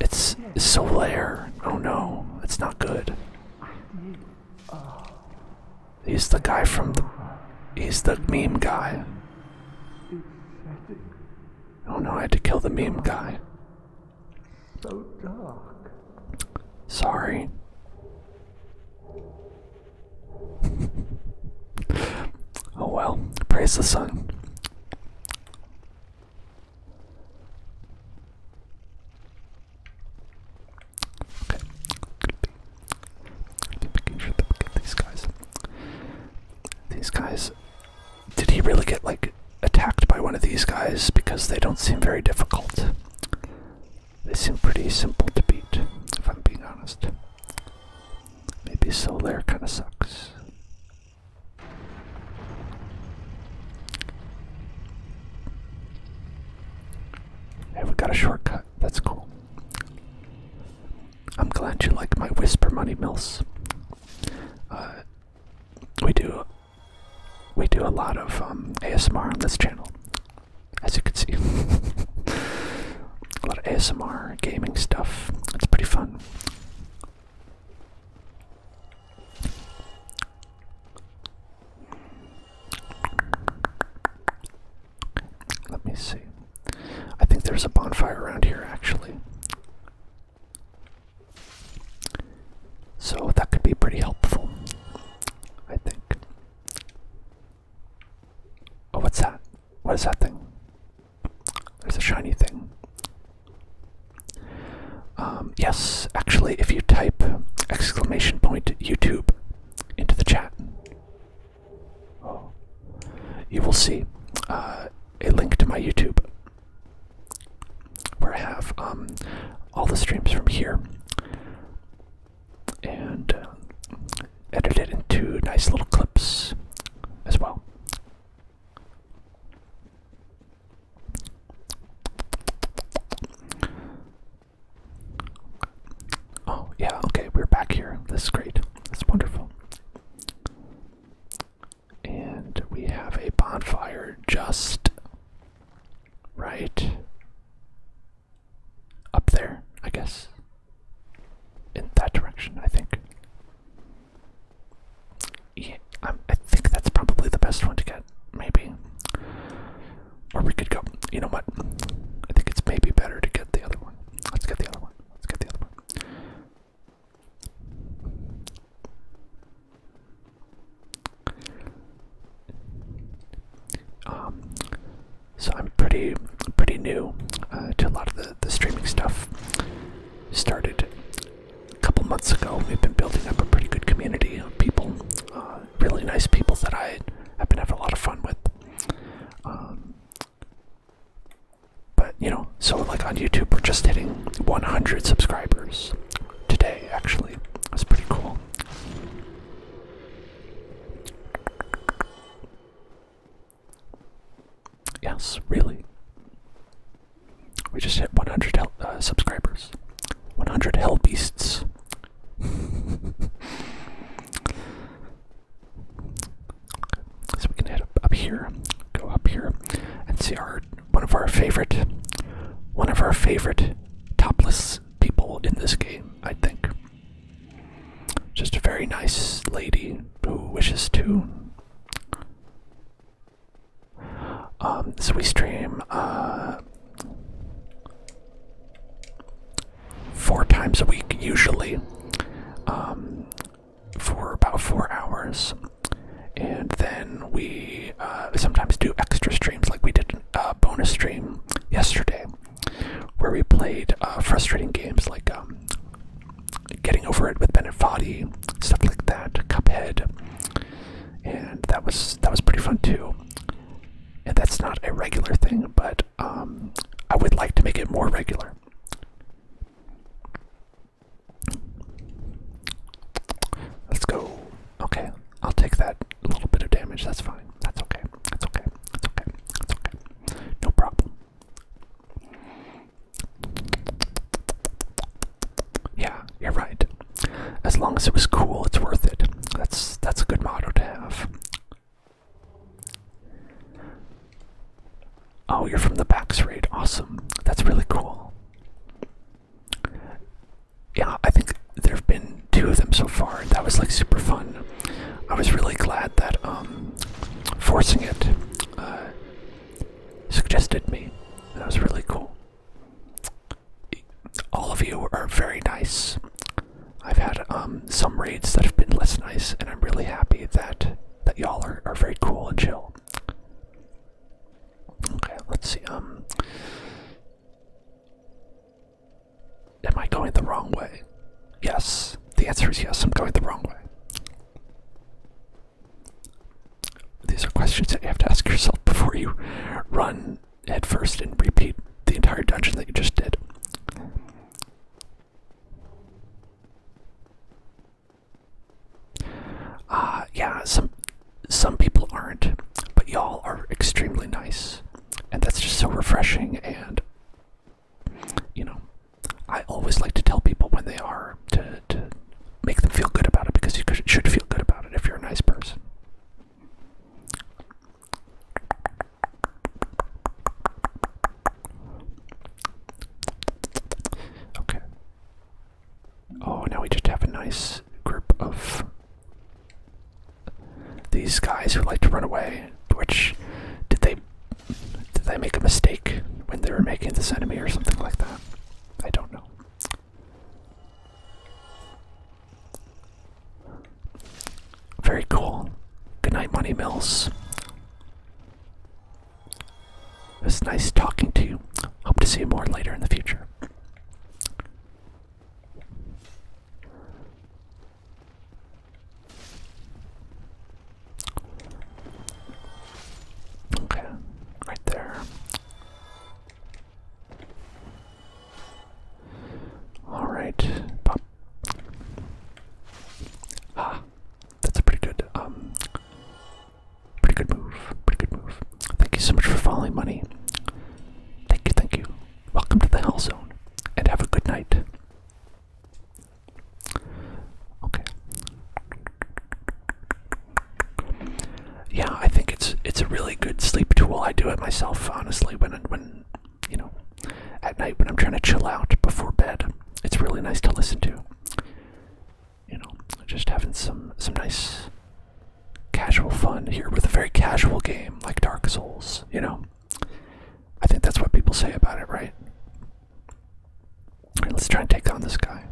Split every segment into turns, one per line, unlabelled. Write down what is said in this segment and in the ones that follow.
It's yes. Oh no, it's not good. Oh. He's the guy from the. He's the meme guy. Oh no, I had to kill the meme guy. So dark. Sorry. Oh well, praise the sun. Okay. Be making sure that we get these guys. These guys. Did he really get like attacked by one of these guys? Because they don't seem very difficult. They seem pretty simple to beat, if I'm being honest. Maybe solar kind of sucks. Hey, we got a shortcut. That's cool. I'm glad you like my whisper money mills. Uh, we do we do a lot of um, ASMR on this channel, as you can see. a lot of ASMR gaming stuff. It's pretty fun. Let me see. I think there's a bonfire around here, actually. So that could be pretty helpful, I think. Oh, what's that? What is that thing? There's a shiny thing. Um, yes, actually, if you type exclamation point YouTube into the chat, you will see uh, a link to my YouTube where I have um, all the streams from here and uh, edited into nice little clips as well. Oh, yeah, okay, we're back here. This is great. That's wonderful. And we have a bonfire just right up there, I guess. In that direction, I think. Yeah, I, think that's probably the best one to get, maybe. Or we could go, you know what? I think it's maybe better to get the other one. Let's get the other one. Let's get the other one. Um, so I'm pretty, pretty new uh, to a lot of the, the streaming stuff started a couple months ago. We've been building up a pretty good community of people, uh, really nice people that I have been having a lot of fun with. Um, but you know, so like on YouTube, we're just hitting 100 subscribers today. Actually, that's pretty cool. Yes, really. We just hit 100 uh, subscribers. 100 hellbeasts. so we can head up, up here, go up here, and see our one of our favorite, one of our favorite topless people in this game. I think. Just a very nice lady who wishes to. Um, so we stream uh, four times a week, usually, um, for about four hours. And then we uh, sometimes do extra streams, like we did a uh, bonus stream yesterday, where we played frustrating games like um, Getting Over It with Ben and stuff like that, Cuphead, and that was that was pretty fun too. And that's not a regular thing, but um, I would like to make it more regular. Let's go. Okay, I'll take that little bit of damage. That's fine. That's okay. That's okay. That's okay. That's okay. No problem. Yeah, you're right. As long as it was cool, it's worth it. That's that's a good motto to have. Oh, you're from the Pax raid. Awesome. That's really cool. Yeah, I think there have been two of them so far, that was like super fun. I was really glad that um forcing it uh, suggested me. That was really cool. All of you are very nice. I've had um, some raids that have been less nice, and I'm really happy that that y'all are, are very cool and chill. Okay, let's see. Um, am I going the wrong way? Yes. The answer is yes. I'm going the wrong way. These are questions that you have to ask yourself before you run headfirst and repeat the entire dungeon that you just did. Uh, yeah, some some people aren't, but y'all are extremely nice, and that's just so refreshing and you know, I always like to tell people when they are to, to make them feel good about it because you should feel good about it if you're a nice person. Okay. Oh, now we just have a nice group of these guys who like to run away. Which did they did I make a mistake when they were making this enemy or something like that? I don't know. Very cool. Good night, Money Mills. It was nice talking to you. Hope to see you more later in the future. Okay, right there. All right, pop. Ah, that's a pretty good, um, pretty good move. Pretty good move. Thank you so much for following, money. Thank you, thank you. Welcome to the Hell Zone, and have a good night. Okay. Yeah, I think it's it's a really good sleep tool. I do it myself, honestly, when when you know at night when I'm trying to chill out before bed. It's really nice to listen to. You know, just having some some nice casual fun here with a very casual game like Dark Souls, you know. I think that's what people say about it, right? Alright, let's try and take on this guy.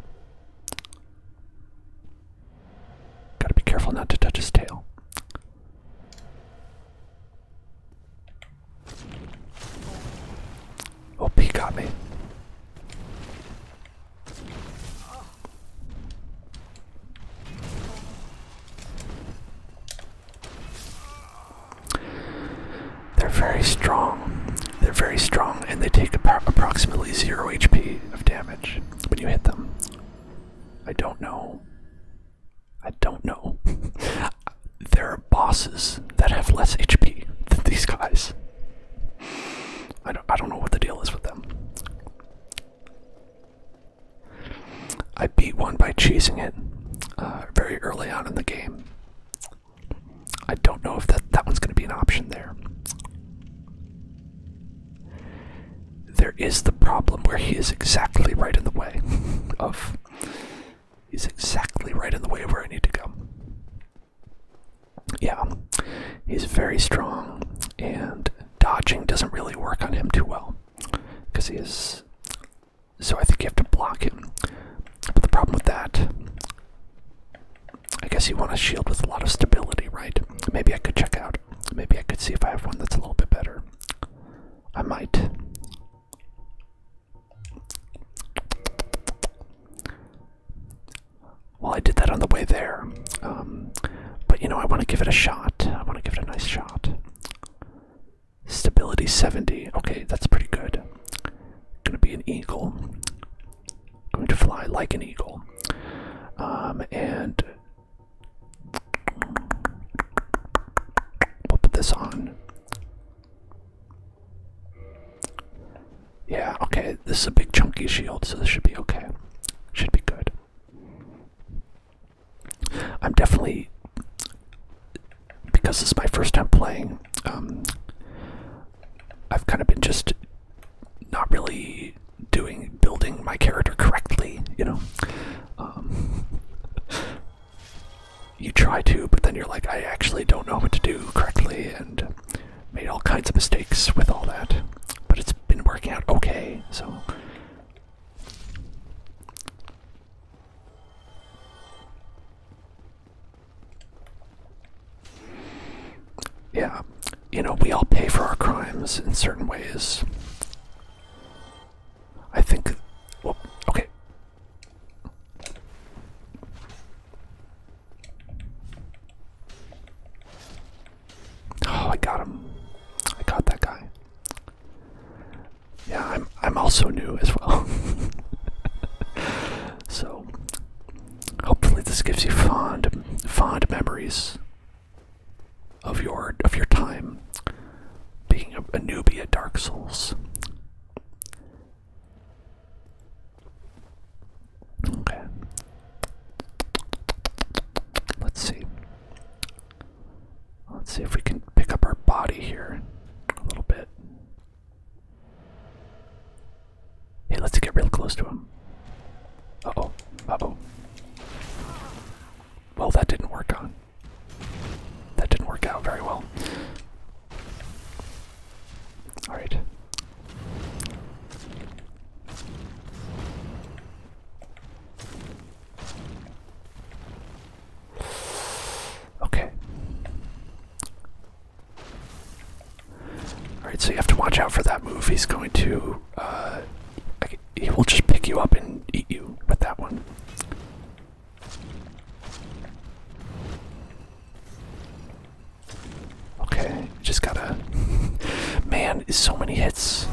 Gotta be careful not to touch his tail. Oh, he got me. They're very strong. They're very strong, and they take approximately zero HP of damage when you hit them. I don't know. I don't know. there are bosses that have less HP than these guys. I don't, I don't know what the deal is with them. I beat one by cheesing it uh, very early on in the game. I don't know if that that one's going to be an option there. There is the problem where he is exactly right in the way of he's exactly right in the way where I need to go. Yeah. He's very strong and dodging doesn't really work on him too well because he is so I think you have to block him. But the problem with that, I guess you want a shield with a lot of stability, right? Maybe I could check out. Maybe I could see if I have one that's a little bit better. I might. Well, I did that on the way there. Um, but you know, I want to give it a shot. I want to give it a nice shot. Stability 70. Okay, that's pretty good. Gonna be an eagle. Going to fly like an eagle. Um, and we'll put this on. Yeah, okay, this is a big chunky shield, so this should be okay. Should be good. I'm definitely because this is my first time playing, um, I've kind of been just not really doing building my character correctly, you know. Um, you try to, but then you're like, I actually don't know what to do correctly, and made all kinds of mistakes with all that. But it's been working out okay, so yeah, you know, we all pay for our crimes in certain ways. I think. Well, okay. Oh, I got him. I got that guy yeah, I'm I'm also new as well. so hopefully this gives you fond fond memories of your of your time being a, a newbie at Dark Souls. Okay. Let's see. Let's see if we can pick up our body here a little bit. Hey, let's get real close to him. Uh oh. Uh oh. Well, that didn't work on. That didn't work out very well. Alright. Okay. Alright, so you have to watch out for that move. He's going to. Uh, he will just pick you up and eat you with that one. Okay, just gotta. Man, so many hits.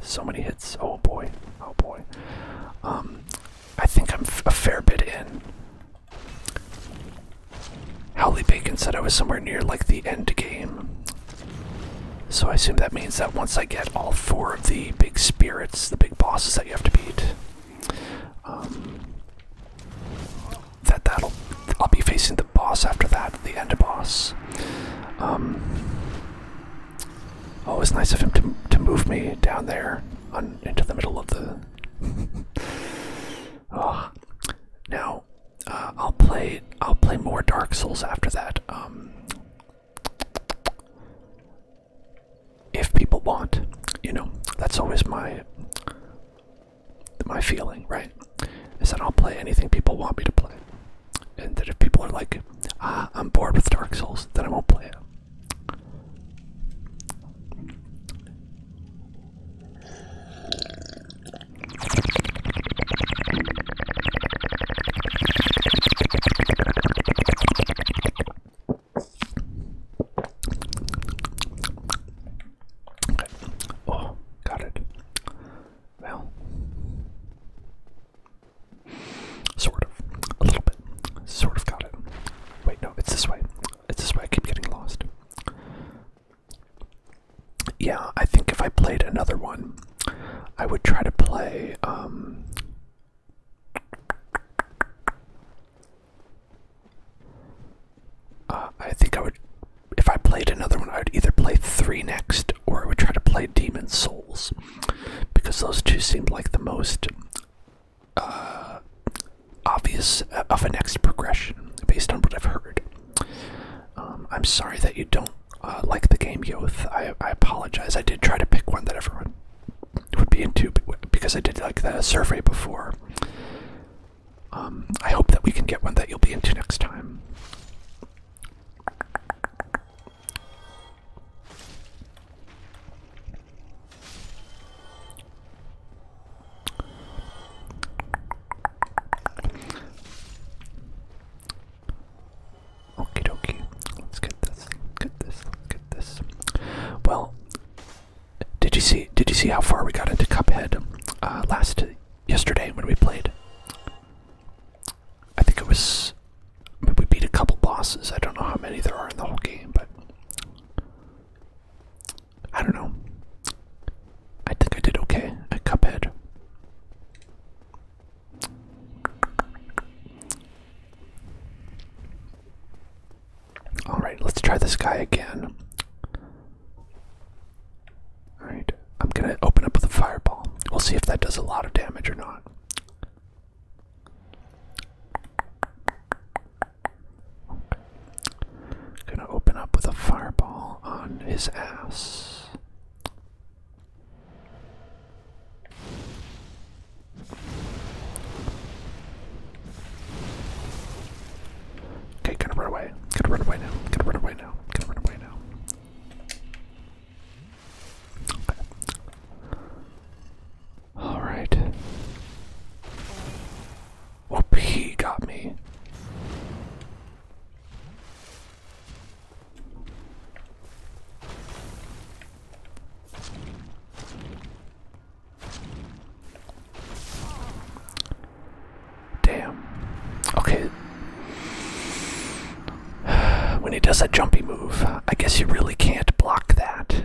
So many hits. Oh boy. Oh boy. Um, I think I'm a fair bit in. Howley Bacon said I was somewhere near like the end game. So I assume that means that once I get all four of the big spirits, the big bosses that you have to beat, um, that that'll I'll be facing the boss after that, the end boss. Um, Oh, it's nice of him to, to move me down there on, into the middle of the. oh. Now, uh, I'll play. I'll play more Dark Souls after that. Um, if people want, you know, that's always my my feeling, right? Is that I'll play anything people want me to play, and that if people are like, ah, I'm bored with Dark Souls, then I won't play it. Okay. Oh, got it. Well, Sort of. A little bit. Sort of got it. Wait, no, it's this way. It's this way. I keep getting lost. Yeah, I think if I played another one, I would try to play. Um, uh, I think I would. If I played another one, I would either play three next, or I would try to play Demon Souls, because those two seemed like the most uh, obvious uh, of a next progression based on what I've heard. Um, I'm sorry that you don't uh, like the game, Yoth. I, apologize. I did try to pick one that everyone would be into because I did like the survey before. Um, I hope that we can get one that you'll be into next time. Okie dokie. Let's get this. Get this. Get this. Well, did you see? Did you see how far we got into Cuphead uh, last yesterday when we played? I think it was we beat a couple bosses. I don't know how many there are in the whole game, but I don't know. I think I did okay A Cuphead. Alright, let's try this guy again. Alright, I'm gonna open up with a fireball. We'll see if that does a lot of damage or not. Gonna open up with a fireball on his ass. Okay, gonna run away. Gonna run away now. Gonna run away now. Gonna run away now. Alright. Whoop, he got me. Damn. Okay. When he does that jumpy move, I guess you really can't block that.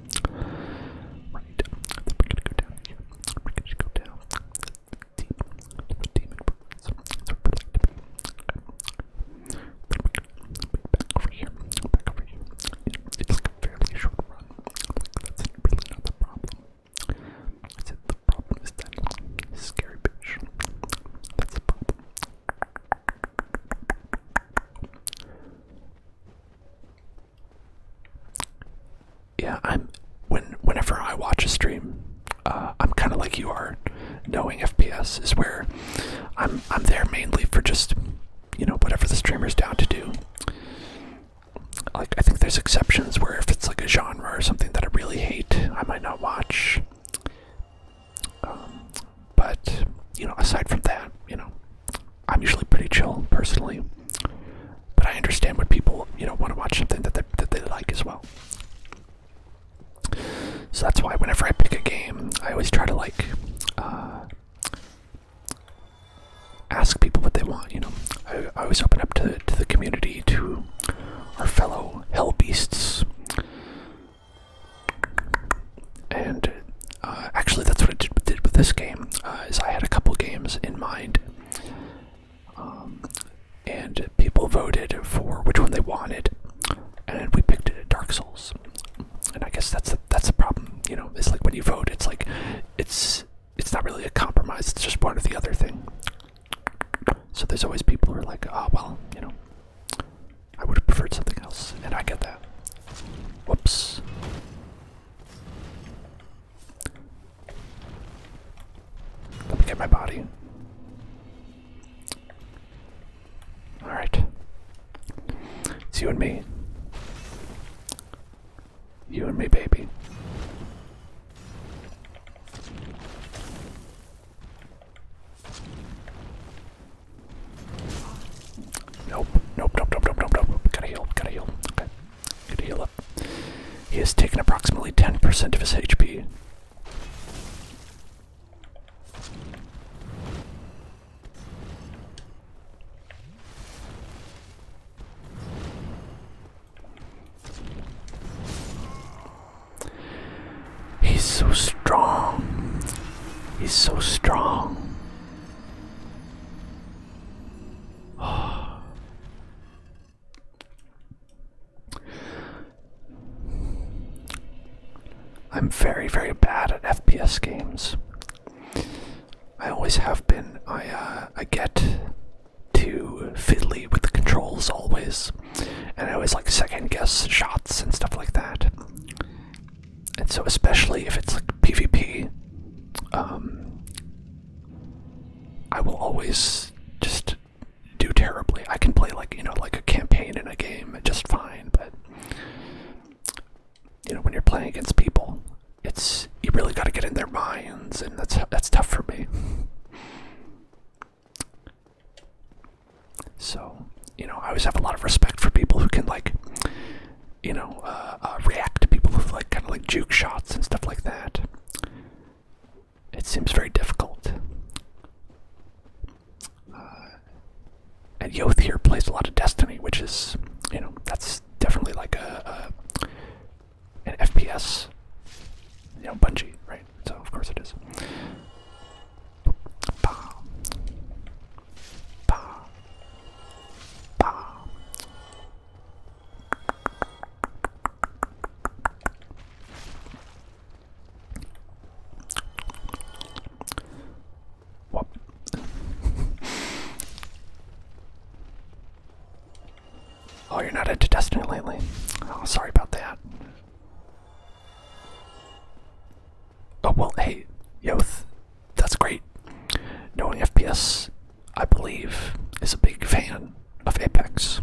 Right. Then we're gonna go down here. We're gonna go down the team to the demon birds. So we're like to be okay. Then we're gonna be back over here. Back over here. It, it's like a fairly short run. Like that's really not the problem. I said the problem is that scary bitch. That's the problem. Yeah, I'm when whenever I watch a stream, uh, I'm kind of like you are. Knowing FPS is where I'm. I'm there mainly for just you know whatever the streamer's down to do. Like I think there's exceptions where if it's like a genre or something that I really hate, I might not watch. Um, but you know, aside from that, you know, I'm usually pretty chill personally, but I understand when people you know want to watch something that they, that they like as well. So that's why whenever I pick a game, I always try to like uh, ask people what they want. You know, I, I always open up to to the community, to our fellow hell beasts, and uh, actually, that's what I did, with this game. Uh, is I had a couple games in mind, um, and people voted for which one they wanted, and we picked it. Dark Souls, and I guess that's the, that's the problem. You know, it's like when you vote, it's like it's it's not really a compromise. It's just one or the other thing. So there's always people who are like, oh well, you know, I would have preferred something else, and I get that. Whoops. Let me get my body. Alright. It's you and me. You and me, baby. Nope, nope, nope, nope, nope, nope, Gotta heal, gotta heal. Okay. He has taken approximately 10% of his HP. He's so strong. He's so strong. I'm very, very bad at FPS games. I always have been. I uh, I get too fiddly with the controls always, and I always like second guess shots and stuff like that and so especially if it's like PvP, um, I will always just do terribly. I can play like you know like a campaign in a game just fine, but you know when you're playing against people, it's you really got to get in their minds, and that's that's tough for me. So, you know, I always have a lot of respect for people who can like you know, uh, uh, react to people with like kind of like juke shots and stuff like that. It seems very difficult. Uh, and Yotheer plays a lot of Destiny, which is, you know, that's definitely like a, a an FPS, you know, Bungie, right? So of course it is oh, you're not into Destiny lately. Oh, sorry about that. Oh well, hey, yo, that's great. Knowing FPS, I believe, is a big fan of Apex.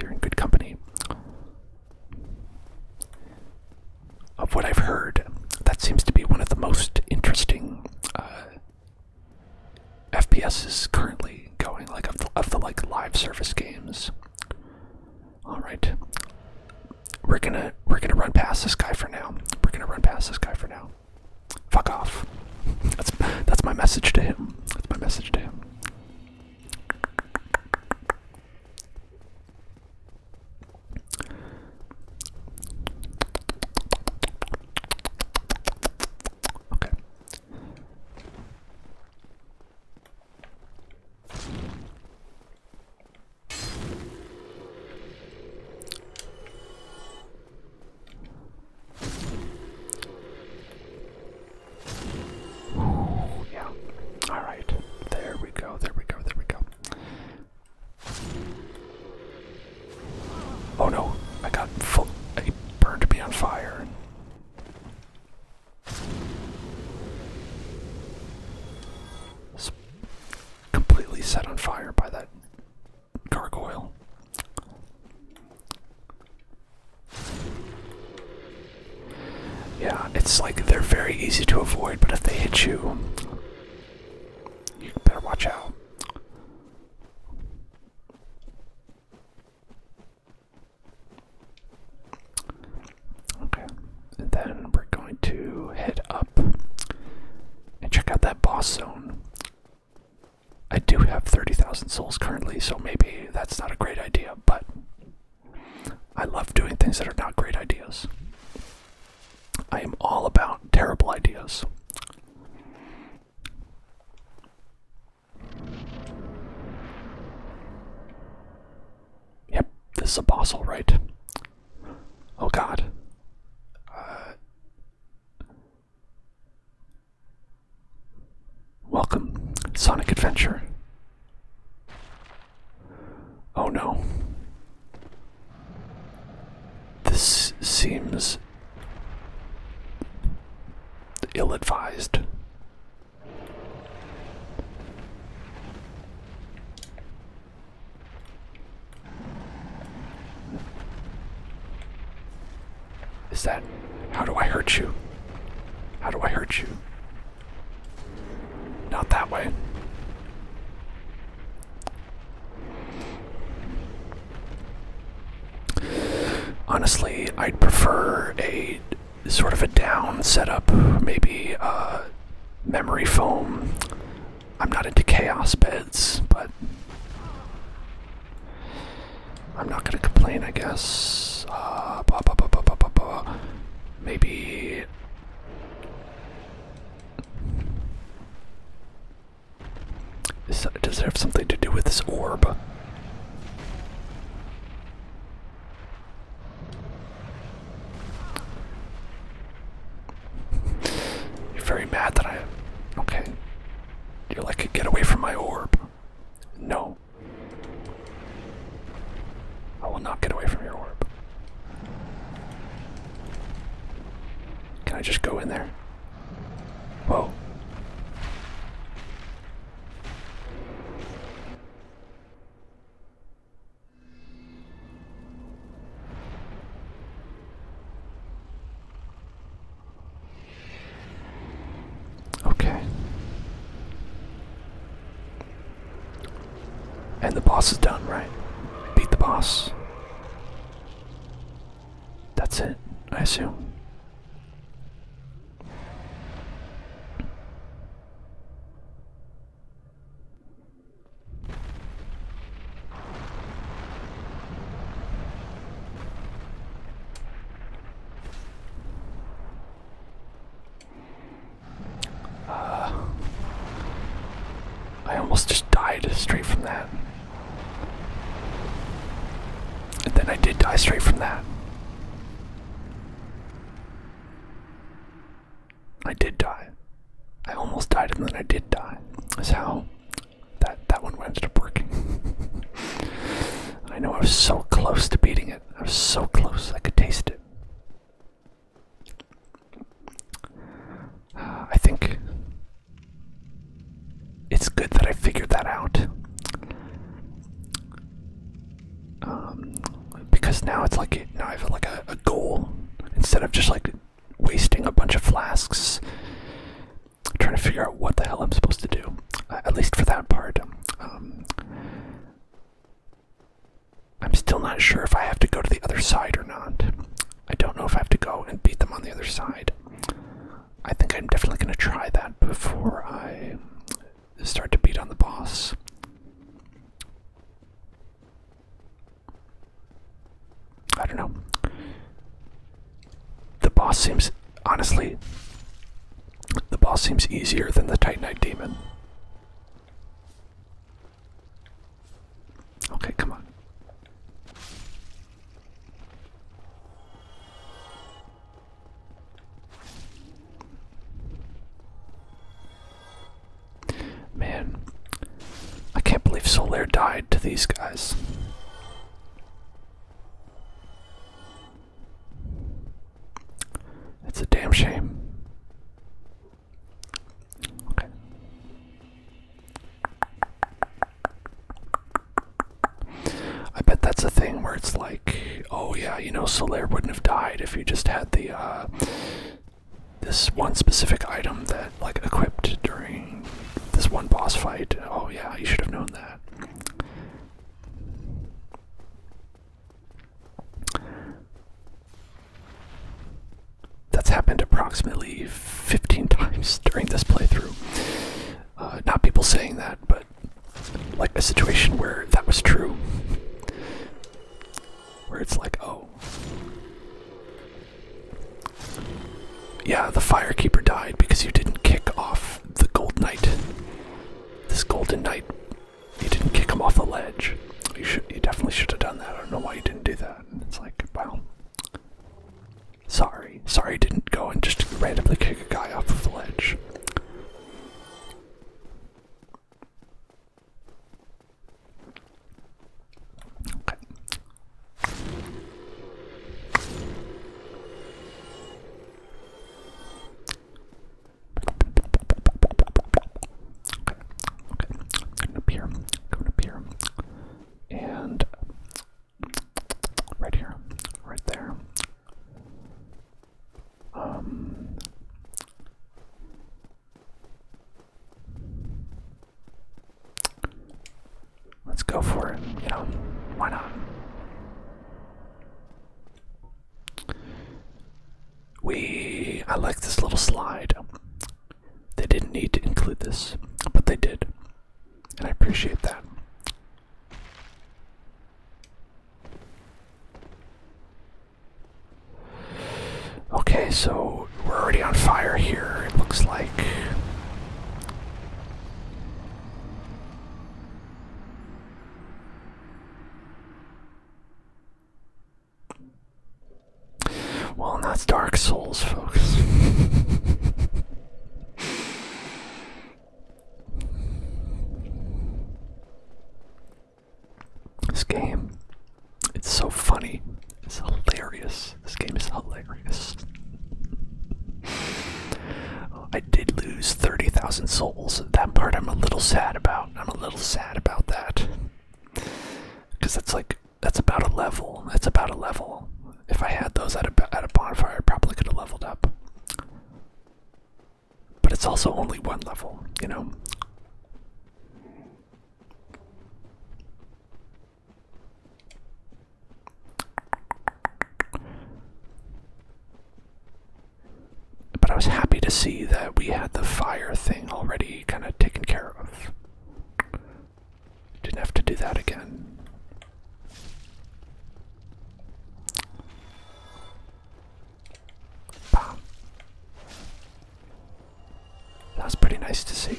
You're in good company. Of what I've heard, that seems to be one of the most interesting uh, FPSs currently going, like of the like live service games. All right, we're gonna we're gonna run past this guy for now. We're gonna run past this guy for now. Fuck off. That's that's my message to him. That's my message to him. Okay yeah. All right. There we go. There we go. There we go. Oh no! I got full. I burned to be on fire completely set on fire by that gargoyle. Yeah, it's like they're very easy to avoid, but if they hit you, you better watch out. Okay, and then we're going to head up and check out that boss zone. I do have 30,000 souls currently, so maybe that's not a great idea, but I love doing things that are not great ideas. I am all about terrible ideas. Yep, this is a boss, all right. Oh god. Uh, welcome, Sonic Adventure. Oh no. This seems ill advised. Is that. How do I hurt you? How do I hurt you? Not that way. Honestly, I'd prefer a sort of a down setup, maybe uh, memory foam. I'm not into chaos beds, but I'm not gonna complain, I guess. Uh, Maybe. Does it have something to do with this orb? You're very mad that I. Okay. You're like, get away from my orb. No. I will not get away from your orb. Can I just go in there? Whoa. Okay. And the boss is done, right? Beat the boss. That's it, I assume. I almost just died straight from that. And then I did die straight from that. I did die. I almost died and then I did die. That's how that that one went up working. I know I was so close to beating it. I was so close I could taste it. I think it's good that I figured that out. Um, because now it's like now I have like a, goal instead of just like wasting a bunch of flasks trying to figure out what the hell I'm supposed to do. Uh, at least for that part, um, I'm still not sure if I have to go to the other side or not. I don't know if I have to go and beat them on the other side. I think I'm definitely going to try that before I start to beat on the boss. I don't know. The boss seems honestly the boss seems easier than the Titanite demon. Okay, come on. Man, I can't believe Solaire died to these guys. It's a damn shame. Okay. I bet that's a thing where it's like, oh yeah, you know, Solaire wouldn't have died if you just had the uh, this one specific item that like equipped during this one boss fight. Oh yeah, you should have known that. That's happened approximately 15 times during this playthrough. Uh, not people saying that, but like a situation where that was true where it's like, oh. Yeah, the firekeeper died because you didn't kick off the golden knight. This golden knight, you didn't kick him off the ledge. You should, you definitely should have done that. I don't know why you didn't do that. And it's like, well, sorry, sorry, didn't go and just randomly kick a guy off of the ledge. Okay. Okay, okay. Going up here, going up here, and right here, right there, um, let's go for it, you know, why not? We, I like this little slide. They didn't need to include this, but they did, and I appreciate that. Okay, so we're already on fire here, it looks like. Well, that's Dark Souls, folks. This game, it's so funny. It's hilarious. This game is hilarious. I did lose 30,000 souls. That part I'm a little sad about. I'm a little sad about that. Because it's like, that's about a level. That's about a level. If I had those at a, at a bonfire, I probably could have leveled up. But it's also only one level, you know? But I was happy to see that we had the fire thing already kind of taken care of. Didn't have to do that again. Bam. That's pretty nice to see.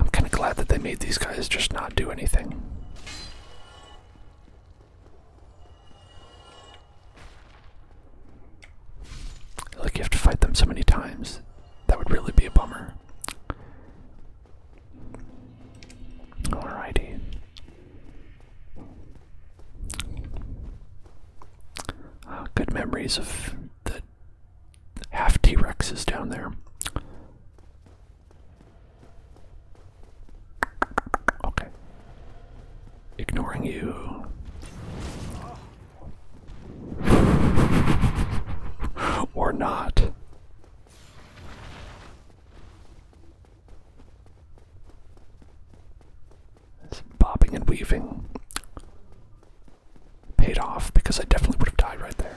I'm kind of glad that they made these guys just not do anything. Like you have to fight them so many times. That would really be a bummer. Alrighty. Uh, good memories of the half T Rexes down there. Okay. Ignoring you or not. bobbing and weaving paid off because I definitely would have died right there.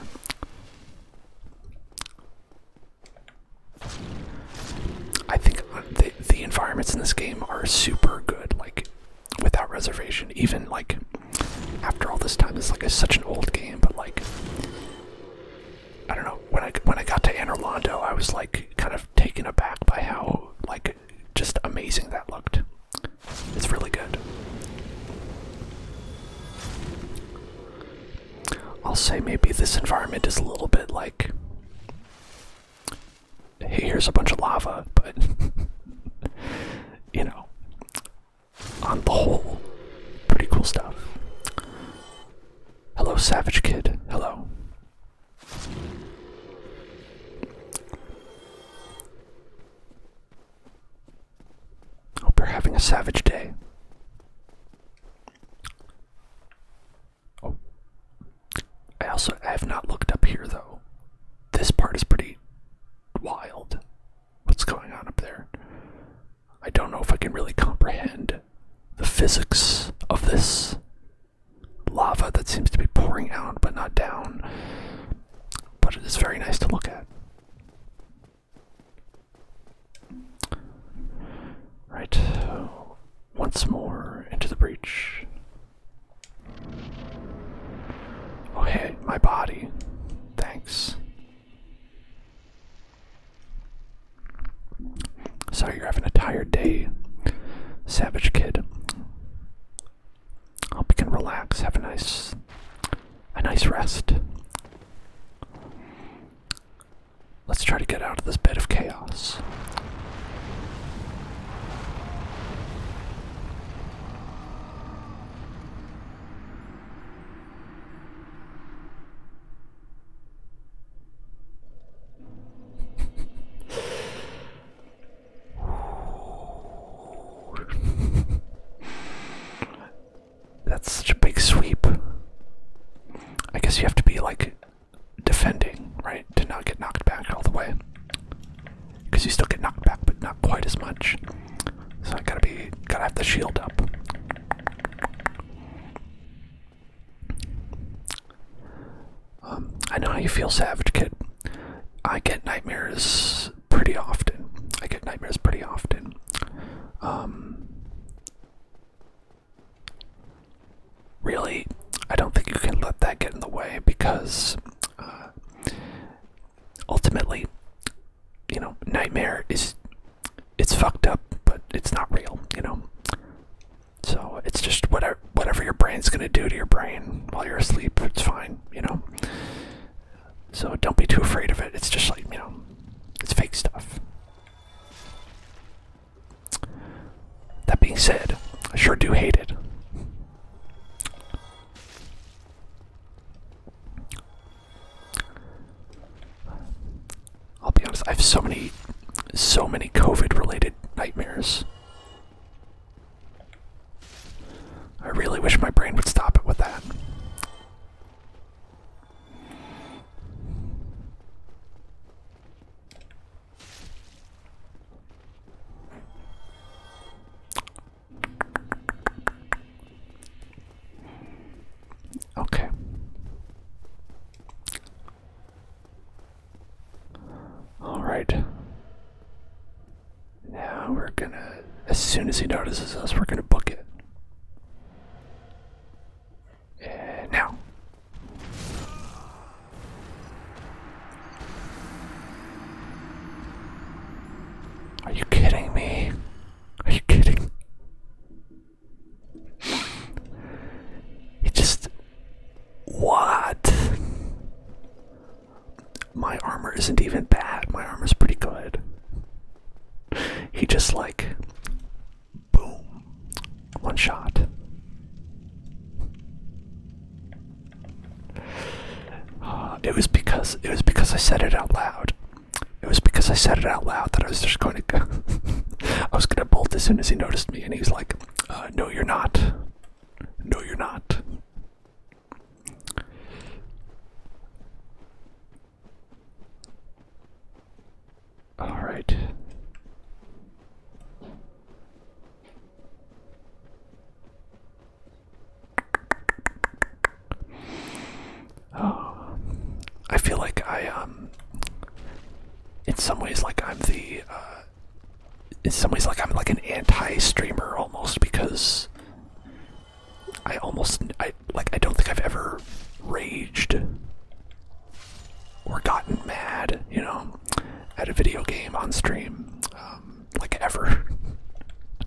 I think the the environments in this game are super good. Like without reservation. Even like after all this time, it's like it's such an old game, but like I don't know. When I when I got to Anne Orlando, I was like kind of taken aback by how like just amazing that looked. It's really good. I'll say maybe this environment is a little bit like hey, here's a bunch of lava, but you know, on the whole, pretty cool stuff. Hello, Savage Kid. Hello. Hope you're having a savage day. Oh. I also I have not looked up here though. This part is pretty wild. What's going on up there? I don't know if I can really comprehend the physics of this lava that seems to be pouring out but not down, but it is very nice to look at. Right, once more into the breach. Oh, hey, my body. Thanks. Sorry you're having a tired day, Savage Kid. Hope you can relax, have a nice a nice rest. Let's try to get out of this bed of chaos. That's such a big sweep. I guess you have to be like defending, right, to not get knocked back all the way because you still get knocked back, but not quite as much. So I gotta be, gotta have the shield up. Um, I know how you feel, Savage Kid. I get nightmares pretty often. I get nightmares pretty often. Um, really, I don't think you can let that get in the way because uh, ultimately, you know, nightmare is it's fucked up, but it's not real, you know. So it's just whatever your brain's gonna do to your brain while you're asleep, it's fine, you know. So don't be too afraid of it. It's just like, you know, it's fake stuff. That being said, I sure do hate it. I'll be honest, I have so many, so many COVID related nightmares. I really wish my brain would stop it with that. Okay. All right. Now we're gonna, as soon as he notices us, we're gonna book it. now. Are you kidding me? Are you kidding? It just. What? My armor isn't even bad. My armor is pretty good. He just like. Boom. One shot. Uh, it was because it was because I said it out loud. It was because I said it out loud that I was just going to go. I was going to bolt as soon as he noticed me, and he was like, uh, "No, you're not. No, you're not." All right. Oh, I feel like I um, in some ways, like I'm the uh, in some ways, like I'm like an anti-streamer almost because I almost I like I don't think I've ever raged or gotten mad, you know, at a video game on stream. Um, like ever.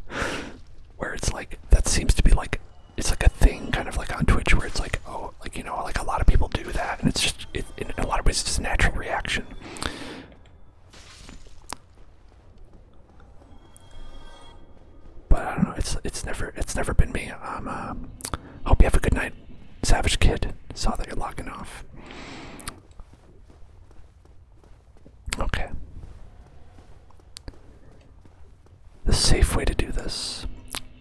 where it's like that seems to be like it's like a thing kind of like on Twitch where it's like oh like you know like a lot of people do that and it's just in a lot of ways it's just a natural reaction. But I don't know. It's it's never it's never been me. I'm um, uh, hope you have a good night, Savage Kid. Saw that you're logging off. Okay. The safe way to do this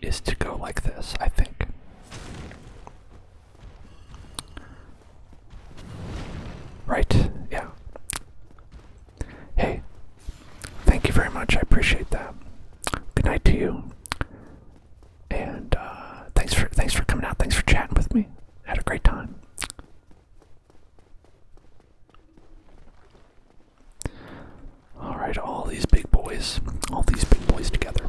is to go like this, I think. Right, yeah. Hey, thank you very much. I appreciate that. Good night to you. And uh, thanks for thanks for coming out. Thanks for chatting with me. Had a great time. All right, all these big boys, all these big boys together.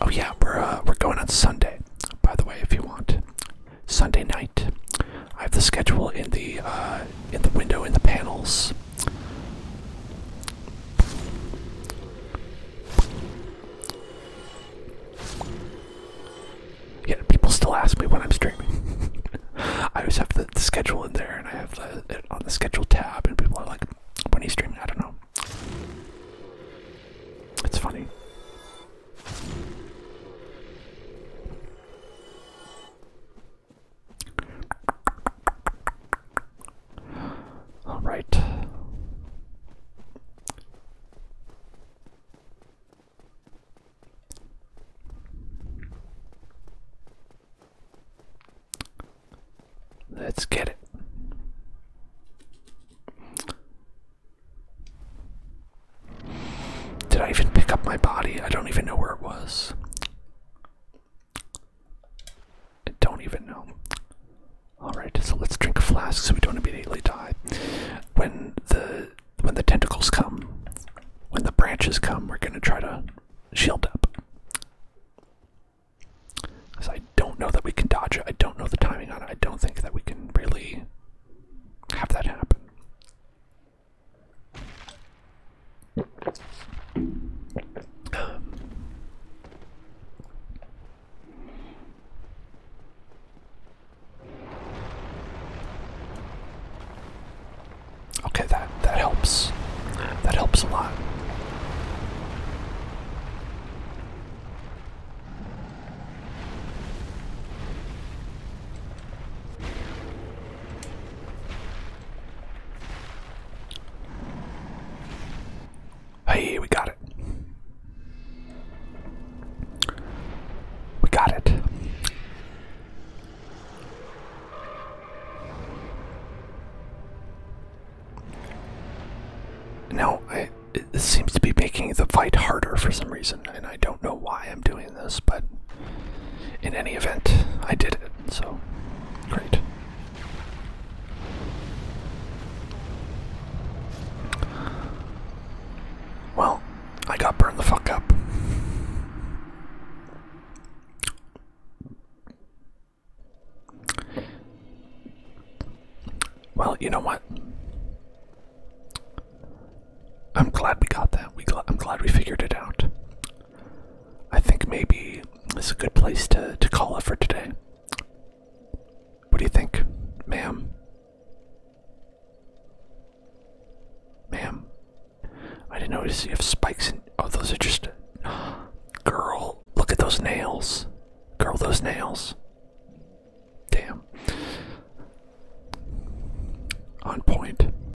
Oh yeah, we're uh, we're going on Sunday. By the way, if you want Sunday night, I have the schedule in the uh, in the window in the panels. Yeah, people still ask me when I'm streaming. I always have the, schedule in there, and I have it on the schedule tab, and people are like, "When are you streaming?" I don't know. It's funny. All right. Let's get it. Did I even pick up my body? I don't even know where it was. I don't even know. Alright, so let's drink a flask so we don't immediately die. When the when the tentacles come, when the branches come, we're gonna try to shield up. Because I don't know that we can dodge it. I don't know the timing on it. I don't think that we can really have that happen. Okay, that that helps. That helps a lot. Hey, we got it. We got it. Now, it, this seems to be making the fight harder for some reason, and I don't know why I'm doing explaining this, but in any event, I did it, so great. Well, I got burned the fuck up. Well, you know what? I'm glad we got that. We gl I'm glad we figured it out. I think maybe it's a good place to, to call it for today. What do you think, ma'am? Ma'am, I didn't notice you have spikes in. Oh, those are just. Girl, look at those nails. Girl, those nails. Damn. On point.